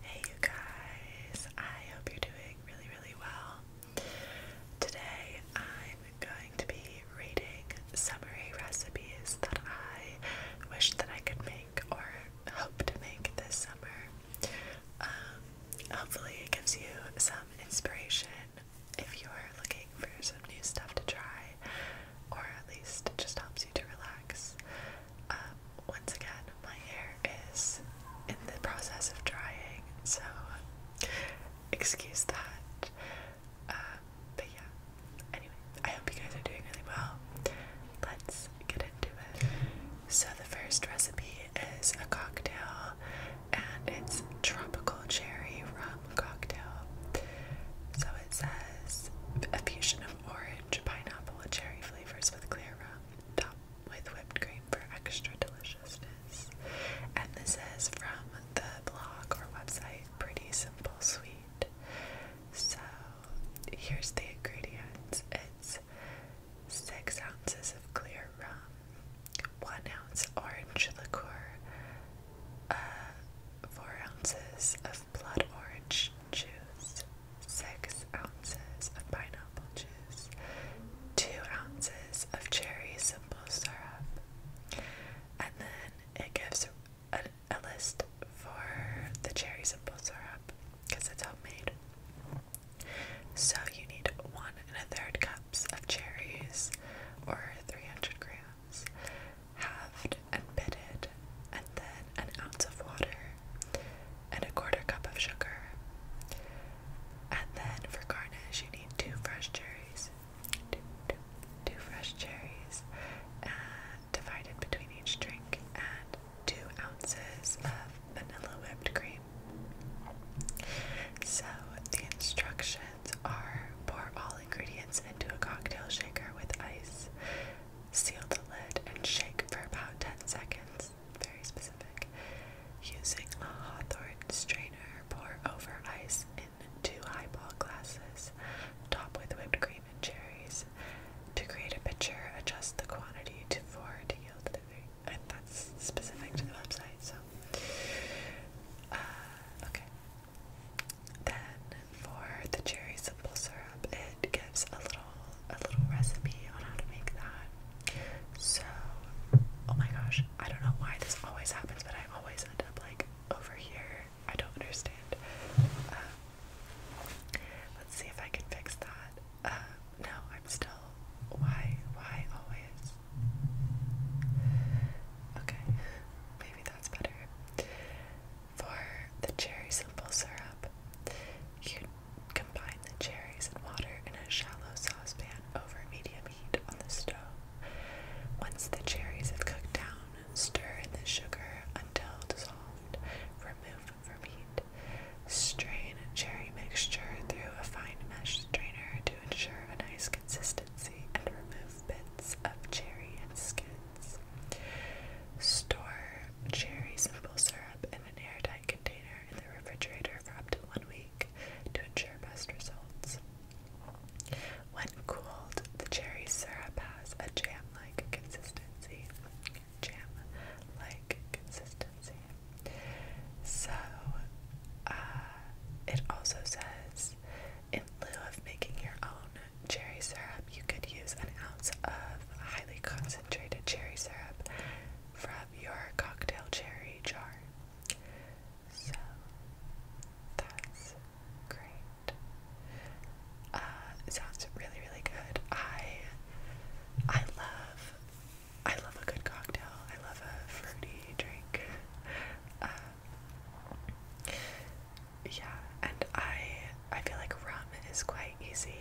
Hey you guys, I hope you're doing really, really well. Today I'm going to be reading summary recipes that I wish that I could make or hope to make this summer. Um, hopefully it gives you some inspiration if you're looking for some new stuff to try or at least just helps you to relax. Um, once again, my hair is in the process of drying, so excuse that. Um, but yeah, anyway, I hope you guys are doing really well. Let's get into it. So, the first recipe is a cocktail, and it's tropical cherry rum cocktail. So, it says a fusion orange, pineapple, and cherry flavors with clear rum, topped with whipped cream for extra deliciousness. And this is from the blog or website Pretty Simple Sweet. So here's the ingredients it's six ounces of clear rum, one ounce orange liqueur, uh, four ounces of blood orange juice, six ounces of pineapple juice, two ounces of cherry simple syrup, and then it gives a, list for the cherry simple syrup because it's homemade. So you need one and a third cups of cherries, or 300 grams, halved and pitted, and then an ounce of water, and a quarter cup of sugar. And then for garnish, you need two fresh cherries, two fresh cherries, and divided between each drink, and two ounces of vanilla whipped cream. So the instructions are pour all ingredients into a cocktail shaker with ice. Seal the lid and shake for about 10 seconds. Very specific. Using a Hawthorne strainer, pour over ice in two highball glasses. Top with whipped cream and cherries. To create a pitcher, adjust the quantity to four to yield the three. And that's specific to the website, so. Uh, okay. Then for the cherry simple syrup, it gives a little a little recipe on how to make that. So, oh my gosh, I don't know why this always happens, but I always end up like over here. I don't understand. Um, let's see if I can fix that. Um, no, I'm still. Why? Why always? Okay, maybe that's better. For the cherry simple syrup, you combine the cherries and water in a shallow saucepan over medium heat on the stove. Once the cherries have cooked down, stir in the sugar until dissolved. Remove from heat. Strain cherry mixture through a fine mesh strainer to ensure a nice consistency and remove bits of cherry and skin. Store cherry simple syrup in an airtight container in the refrigerator for up to one week to ensure best results. When cooled, the cherry syrup has a jam-like consistency. Jam-like consistency. So, uh, it also says, in lieu of making your own, cherry syrup, you could use an ounce of highly concentrated cherry syrup from your cocktail cherry jar. So that's great. Uh, sounds really, really good. I I love I love a good cocktail. I love a fruity drink. Um, yeah, and I I feel like rum is quite easy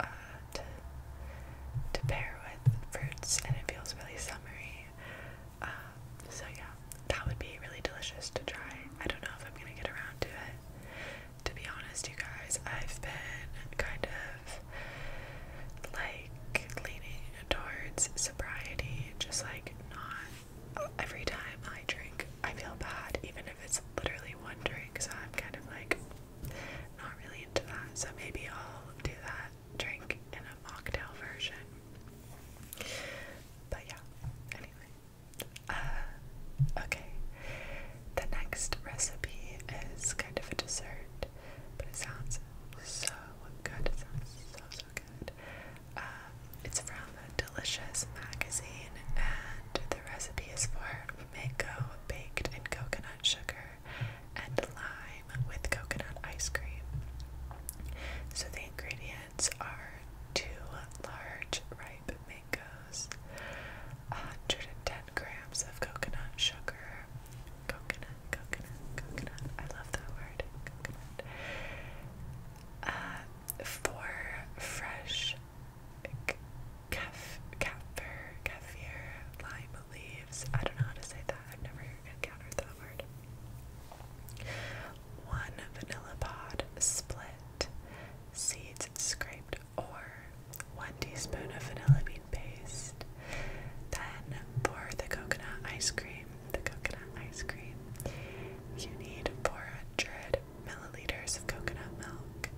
uh, to to pair with fruits, and it feels really summery. Um, so yeah, that would be really delicious to try. I don't know if I'm gonna get around to it. To be honest, you guys, I've been kind of like leaning towards sobriety, just like not every time I drink, I feel bad, even if it's literally one drink. So I'm kind of like not really into that. So maybe I'll do that drink in a mocktail version. But yeah, anyway. Uh, okay. The next recipe is kind of a dessert, but it sounds so good. It sounds so, so good. Um, it's from a delicious magazine, and the recipe is for mango baked in coconut sugar, and lime with coconut ice cream. So the ingredients are two large ripe mangoes, 110 grams of coconut sugar, coconut, coconut, coconut, I love that word, uh, four fresh Kef, kefir, kefir, lime leaves. I don't know how to say that. I've never encountered that word. One vanilla pod split, seeds scraped, or one teaspoon of vanilla bean paste. Then pour the coconut ice cream, the coconut ice cream, you need 400 milliliters of coconut milk,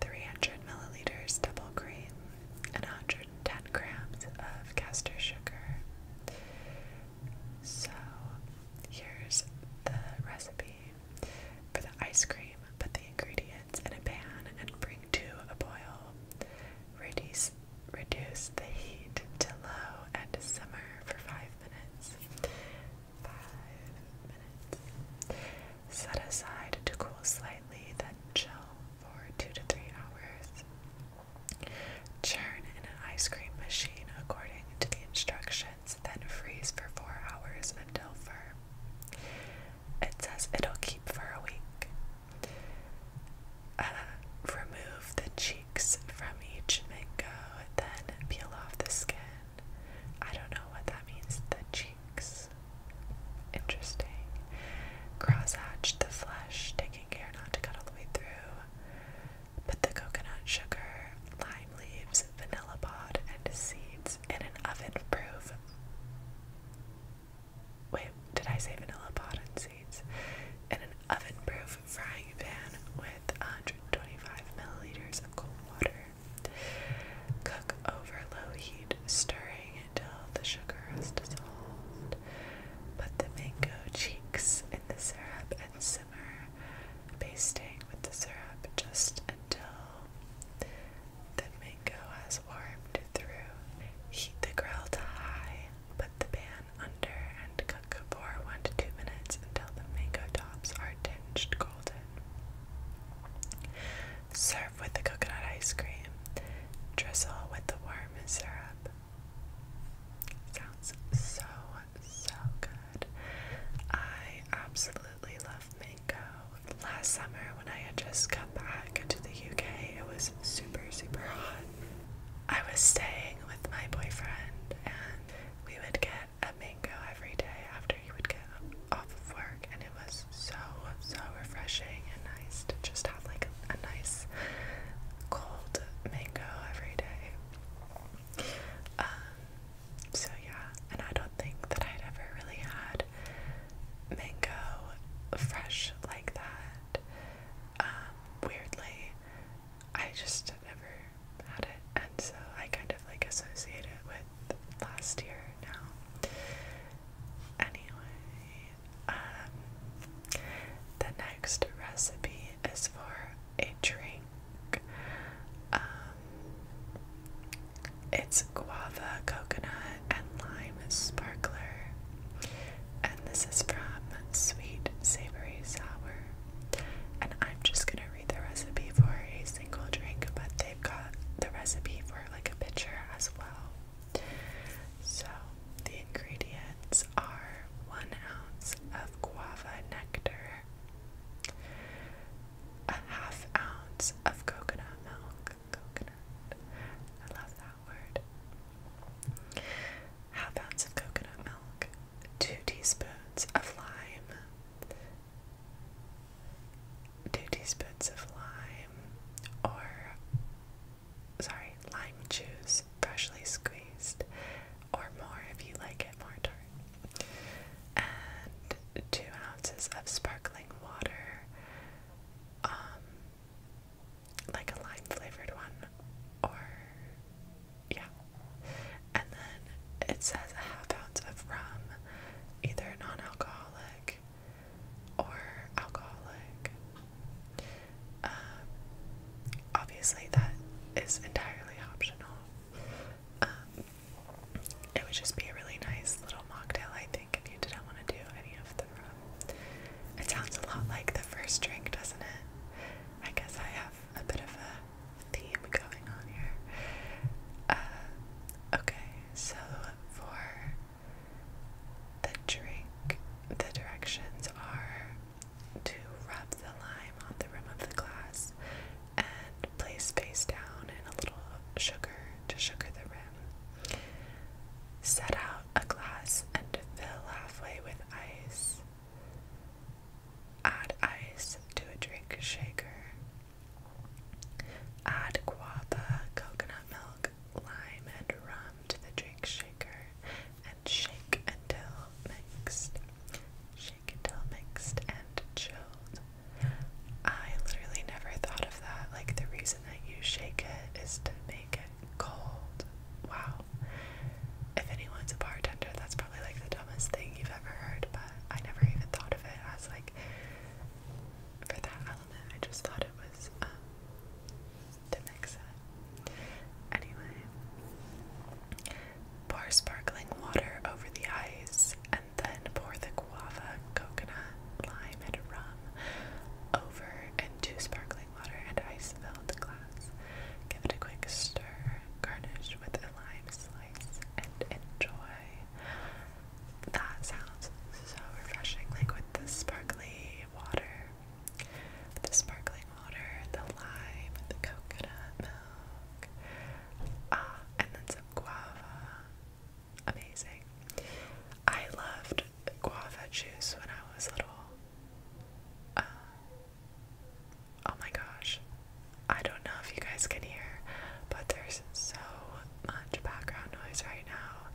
300 milliliters double cream, and 110 grams of caster sugar. So, here's the recipe for the ice cream. Put the ingredients in a pan and bring to a boil. Reduce Reduce the heat to low and simmer for five minutes five minutes. Set aside to cool slightly, then chill for two to three hours. Churn in an ice cream machine according to the instructions, then freeze for four hours until firm. It says it'll keep for a week. Uh, remove the cheeks from each mango, then peel off the skin. I don't know what that means. The cheeks. Interesting. Cross hatch the flesh, taking care not to cut all the way through. Put the coconut sugar, lime leaves, vanilla pod, and seeds in an oven proof. Wait, did I say vanilla pod and seeds? In an oven proof frying pan with 125 milliliters of cold water. Cook over low heat, stirring until the sugar has dissolved. Put the mango cheeks in the syrup and simmer, basting with the syrup just until the mango has warmed through. Heat the grill to high, put the pan under, and cook for 1 to 2 minutes until the mango tops are tinged golden. Serve with the coconut ice cream. Drizzle with the warm syrup. Sounds so, so good. I absolutely love mango. Last summer, when I just come back to the UK, it was super, super hot. I was staying with my boyfriend, and we would get a mango every day after he would get off of work, and it was so so refreshing and nice to just have like a, nice cold mango every day. Um, so yeah, and I don't think that I'd ever really had mango fresh like that. Um, weirdly, I just never about it, and so I kind of like associate it with last year now. Anyway, um, the next recipe is for a drink. Um, it's guava, coconut, and lime sparkler. And this is from Sweet Savory Sour and I'm just gonna read the recipe for a single drink, but they've got the recipe for like a pitcher as well. So the ingredients are one ounce of guava nectar, a half ounce of coconut milk, coconut, I love that word, half ounce of coconut milk, two teaspoons of lime, two teaspoons of lime or sorry, lime juice, freshly squeezed, or more if you like it more tart, and two ounces of sparkling water, um, like a lime flavored one, or yeah. And then it says a half ounce of rum, either non alcoholic or alcoholic. Um, obviously, that is entirely optional. Um, it would just be a really nice little mocktail, I think, if you didn't want to do any of the rum. It sounds a lot like the first drink, doesn't it? I guess I have a bit of a theme going on here. Uh, okay, so for the drink, the directions are to rub the lime on the rim of the glass and place face down in a little sugar to sugar the rim. Set out a glass and fill halfway with ice. Add ice to a drink shaker. Add guava, coconut milk, lime, and rum to the drink shaker and shake until mixed. Shake until mixed and chilled. I literally never thought of that. Like, the reason that you shake it is to make it cold. Wow. If anyone's a bartender, that's probably like the dumbest thing you've ever heard, but I never even thought of it as like for that element. I just thought it was um, to mix it. Anyway, pour sparkling water over the ice and then pour the guava, coconut, lime, and rum over into sparkling water and ice filled glass. Give it a quick stir. Garnish with a lime slice and enjoy. That sounds so refreshing, like with the sparkly water, the sparkling water, the lime, the coconut milk, ah, and then some guava. Amazing. I loved guava juice when I was little. Um, Oh my gosh. I don't know if you guys can hear, but there's so much background noise right now.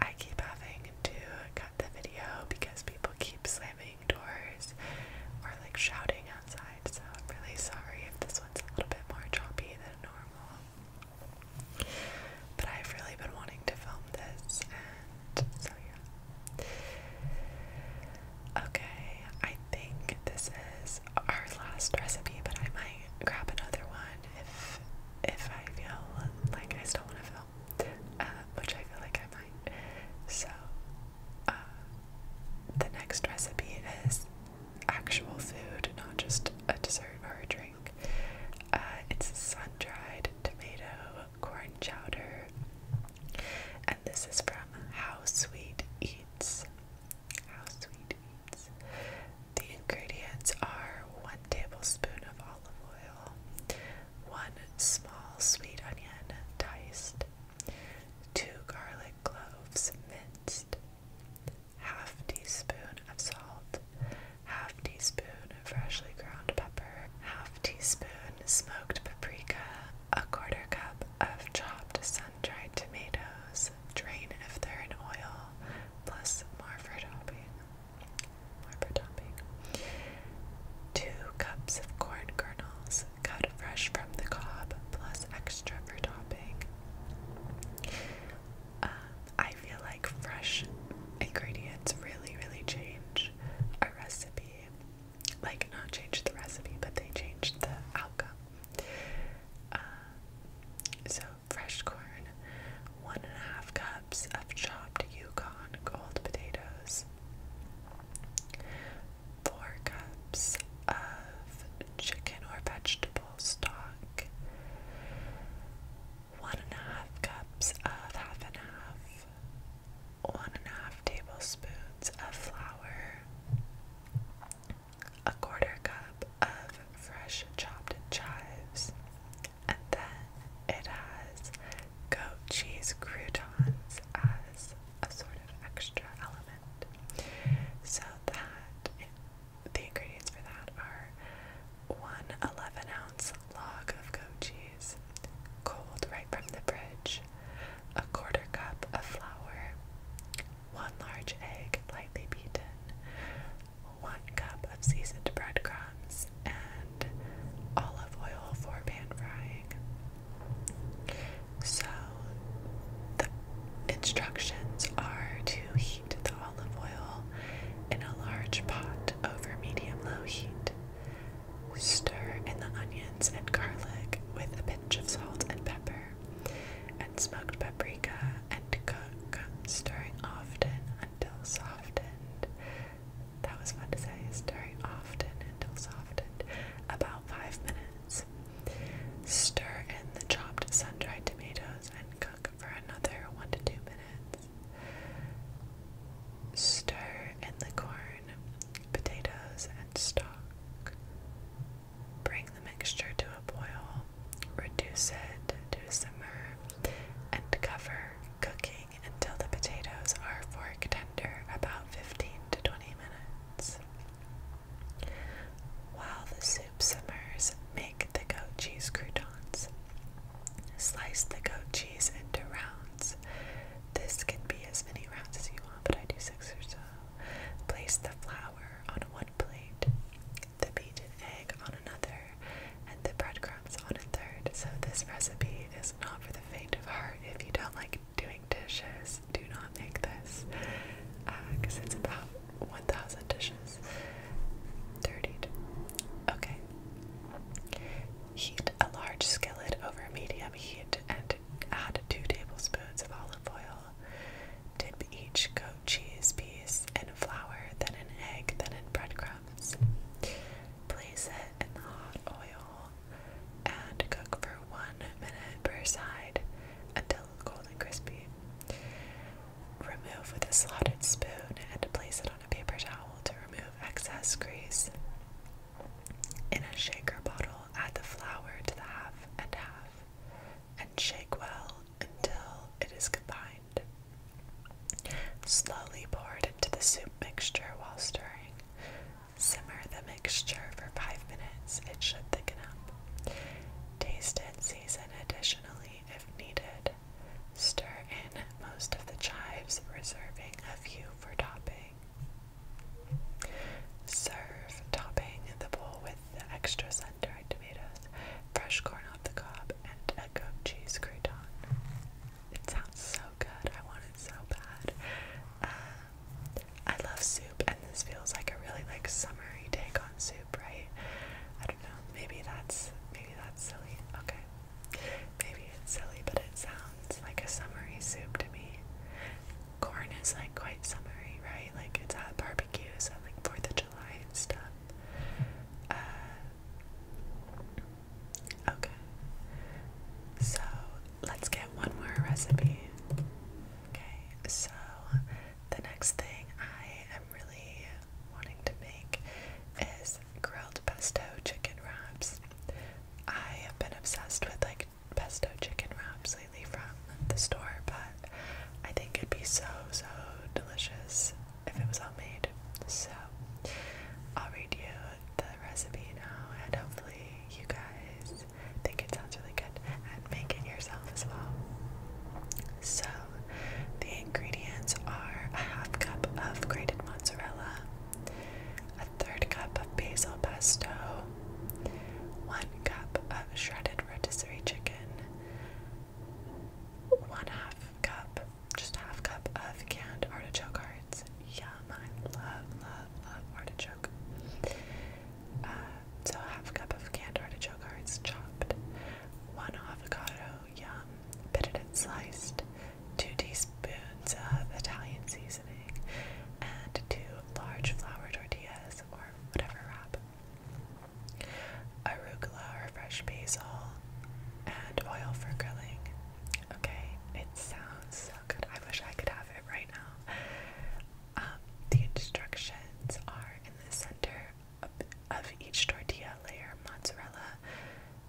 I keep having to cut the video because people keep slamming doors or like shouting outside. So I'm really sorry if this one's a little bit more choppy than normal. But I've really been wanting to film this and so yeah. Okay, I think this is our last recipe, but I might grab another one if if I feel like I still want to film, uh, which I feel like I might. So uh, the next recipe is actual food, not just a dessert or a drink. Uh, it's sun dried tomato corn chowder and this is from How Sweet Eats. How Sweet Eats. The ingredients are one tablespoon of olive oil, one small sweet onion diced, two garlic cloves minced, half teaspoon of salt, half teaspoon of freshly ground pepper, half teaspoon smoked paprika, a quarter cup of chopped sun-dried tomatoes, drain if they're in oil, plus more for topping. More for topping. Two cups of corn kernels, cut fresh from the cob, plus extra for topping. Um, I feel like fresh ingredients really, really change a recipe like not changed the recipe, but they changed the outcome. Uh, so fresh corn, one and a half cups of chopped Yukon gold potatoes, four cups of chicken or vegetable stock, one and a half cups of half and half, one and a half tablespoons of flour, a quarter cup of fresh chopped chives, and then it has goat cheese croutons as a sort of extra element. So that the ingredients for that are one 11 ounce log of goat cheese, cold right from the fridge, a quarter cup of flour, one large egg lightly beaten, one cup of seasoned breadcrumbs, and olive oil for pan frying. So the instructions are to heat the olive oil in a large pot over medium low heat. Stir in the onion and garlic with a pinch of salt and pepper, and smoked paprika, and cook, stirring often until softened. That was fun to say, stirring often until softened, about five minutes. Stir in the chopped sun-dried tomatoes and cook for another one to two minutes. Stir in the corn, potatoes, and stock. Bring the mixture to a boil, reduce it to simmer, and cover cooking until the potatoes are fork tender, about 15 to 20 minutes. While the soup simmers, make the goat cheese croutons. Slice the goat cheese into rounds. This can be as many rounds as you want, but I do six or so. Place the flour on one plate, the beaten egg on another, and the breadcrumbs on a third. So, this recipe is not for the faint of heart. If you don't like doing dishes, do not make this because uh, it's about 1,000 dishes. 30. Okay. Heat a large skillet over medium heat and add two tablespoons of olive oil. Dip each goat cheese piece in flour, then an egg, then in breadcrumbs. Place it in the hot oil and cook for one minute per side until cold and crispy. Remove with a slotted spoon and place it on a paper towel to remove excess grease. In a shaker bottle, add the flour to the half and half and shake well until it is combined. Slowly pour it into the soup mixture while stirring. Simmer the mixture for 5 minutes. It should thicken up. Taste and season additionally if needed. Stir in most of the chives, reserving a few for topping. Serve topping the bowl with extra sun-dried tomatoes, fresh corn off the cob, and a goat cheese crouton. It sounds so good. I want it so bad. Um, I love soup, and this feels like a really like summery take on soup, right? I don't know. Maybe that's maybe that's silly. Okay, maybe it's silly, but it sounds like a summery soup to me corn is like quite summery, right? Like it's at barbecues at like Fourth of July and stuff. Uh, okay, so let's get one more recipe. Okay, so the next thing I am really wanting to make is grilled pesto chicken wraps. I have been obsessed with like pesto chicken wraps lately from the store, but I think it'd be so, so delicious if it was all made. So I'll read you the recipe now, and hopefully, you guys think it sounds really good and make it yourself as well. So, the ingredients are a half cup of grated mozzarella, a third cup of basil pesto, one cup of shredded rotisserie chicken, one half cup, just half cup of canned artichoke hearts. Yum! I love, love, love artichoke. Uh, so half cup of canned artichoke hearts chopped, one avocado. Yum! Bit and sliced. Two teaspoons of Italian seasoning and two large flour tortillas or whatever wrap, arugula or fresh basil, and oil for grilling. Okay, it sounds so good. I wish I could have it right now. Um, the instructions are in the center of each tortilla layer mozzarella,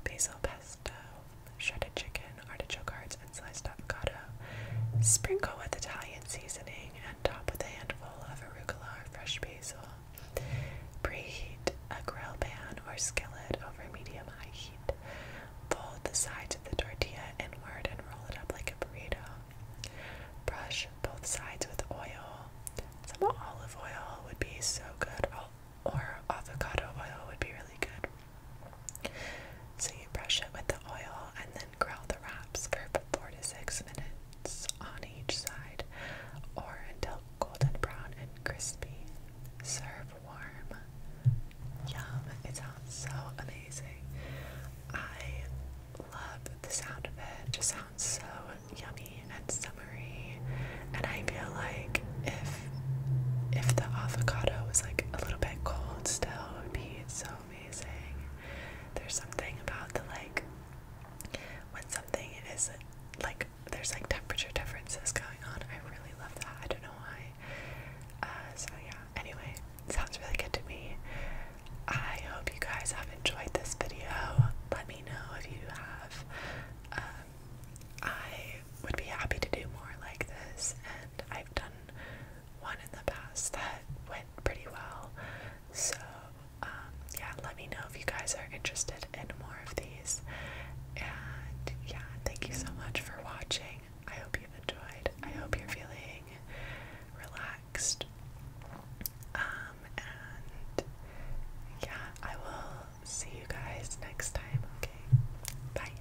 basil pesto, shredded chicken artichoke hearts, and sliced avocado. Sprinkle with Italian seasoning and top with a handful of arugula or fresh basil. Preheat a grill pan or skillet over medium high heat. Fold the sides of the tortilla inward and roll it up like a burrito. Brush both sides with oil. Some olive oil would be so good, or avocado oil would be really good. So you brush it with the oil and then grill the wraps for four to six minutes on each side or until golden brown and crispy. Serve warm. Yum. It sounds so amazing. I love the sound of it. just sounds so yummy and summery. And I feel like if if the avocado was like a little bit cold still, would be it's so amazing. There's something about the like when something is like there's like temperature differences going on. I really love that. I don't know why. Uh, so yeah. Anyway, sounds really good to me. I hope you guys have enjoyed this video. Let me know if you have. Um, I would be happy to do more like this, and I've done one in the past that went pretty well. So, um, yeah, let me know if you guys are interested in more of these. And yeah, thank you so much for watching. I hope you've enjoyed. I hope you're feeling relaxed. Um, and yeah, I will see you guys next time, okay? Bye.